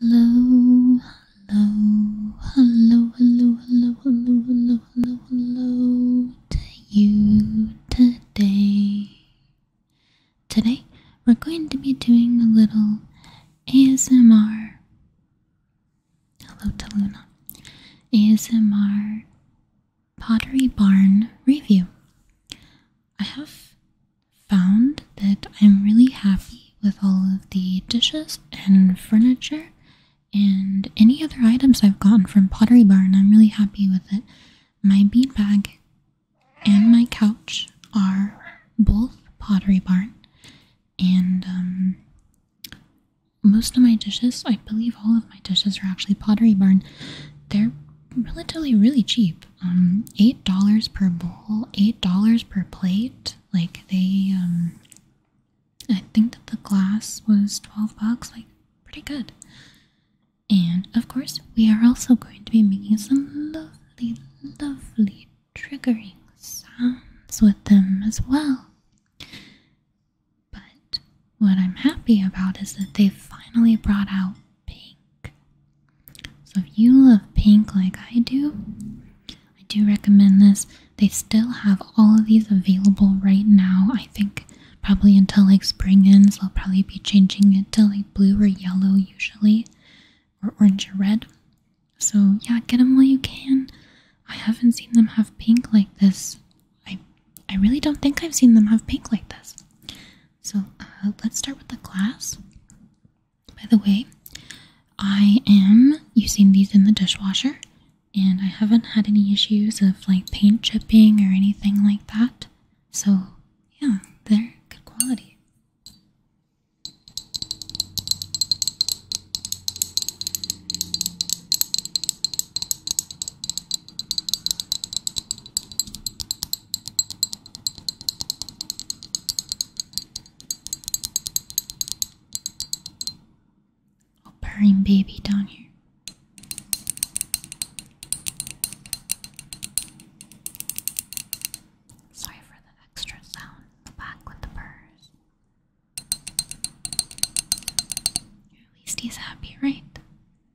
Hello, hello, hello, hello, hello, hello, hello, hello, hello to you today. Today, we're going to be doing a little ASMR. Hello to Luna. ASMR Pottery Barn review. I have found that I'm really happy with all of the dishes and furniture and any other items I've gotten from Pottery Barn. I'm really happy with it. My bean bag and my couch are both Pottery Barn, and um, most of my dishes, I believe all of my dishes, are actually Pottery Barn. They're relatively really cheap um, eight dollars per bowl, eight dollars per plate. Like they, um, I think that the glass was twelve bucks. Like pretty good. And of course, we are also going to be making some lovely, lovely triggering sounds with them as well. But what I'm happy about is that they have finally brought out pink so if you love pink like I do, I do recommend this. They still have all of these available right now. I think probably until like spring ends, they'll probably be changing it to like blue or yellow usually, or orange or red. So yeah, get them while you can. I haven't seen them have pink like this. I I really don't think I've seen them have pink like this. So uh, let's start with the glass. By the way, I am using these in the dishwasher and I haven't had any issues of like paint chipping or anything like that. So, yeah, they're good quality. A purring baby down here. Sorry for the extra sound in the back with the purrs. At least he's happy, right?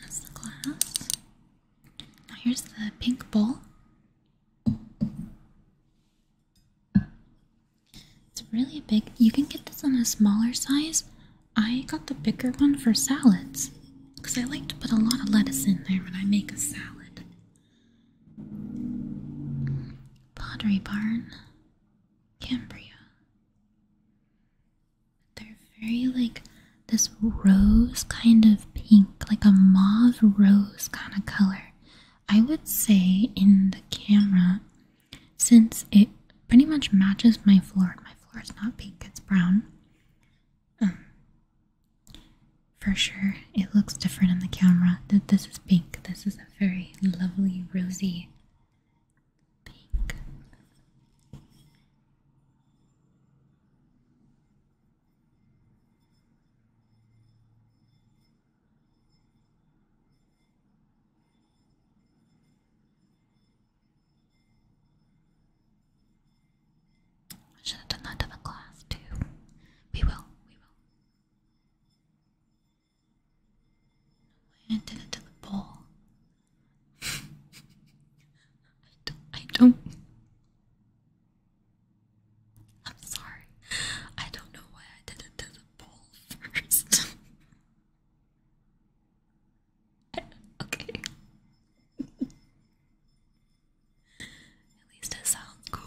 That's the glass. here's the pink bowl. It's really big. You can get this on a smaller size, I got the bigger one for salads because I like to put a lot of lettuce in there when I make a salad. Pottery Barn, Cambria. They're very like this rose kind of pink, like a mauve rose kind of color. I would say in the camera, since it pretty much matches my floor. My floor is not pink, it's brown. Um, for sure, it looks different on the camera. That This is pink. This is a very lovely, rosy pink. I should have done that to the class too. We will, we will. I did it to the bowl. I don't. I don't I'm sorry. I don't know why I did it to the bowl first. okay. At least it sounds cool.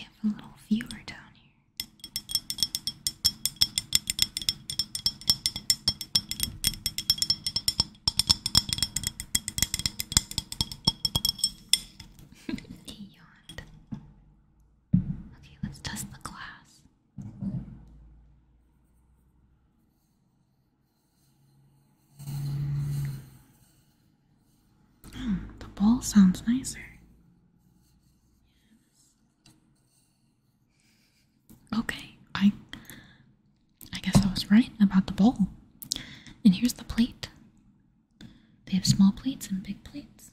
We have a little viewer down here he Okay, let's test the glass. Hmm, the bowl sounds nicer. Yes. Okay, I I guess I was right about the bowl. And here's the plate. They have small plates and big plates.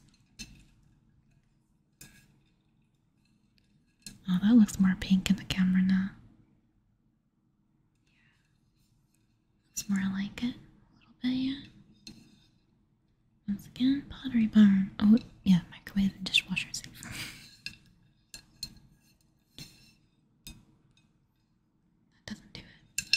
Oh, that looks more pink in the camera now. Yeah. Looks more like it. A little bit, yeah. Once again, Pottery Barn. Oh, yeah, microwave and dishwasher safe. that doesn't do it.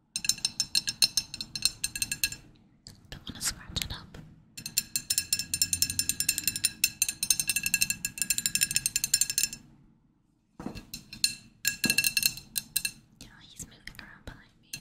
Don't want to scratch it up. Yeah, he's moving around behind me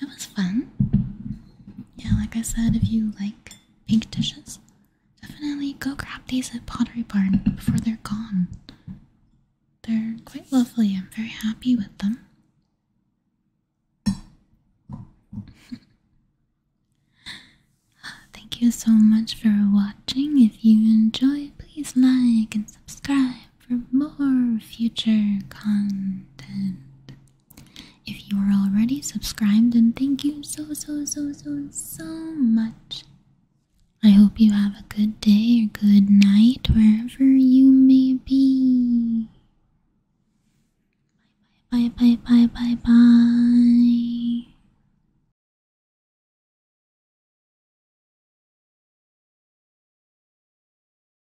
that was fun. Yeah, like I said, if you like pink dishes, definitely go grab these at Pottery Barn before they're gone. They're quite lovely. I'm very happy with them. Thank you so much for watching. If you enjoyed, please like and subscribe for more future content. If you are already subscribed, then thank you so, so, so, so, so much. I hope you have a good day or good night wherever you may be. Bye, bye, bye, bye, bye, bye.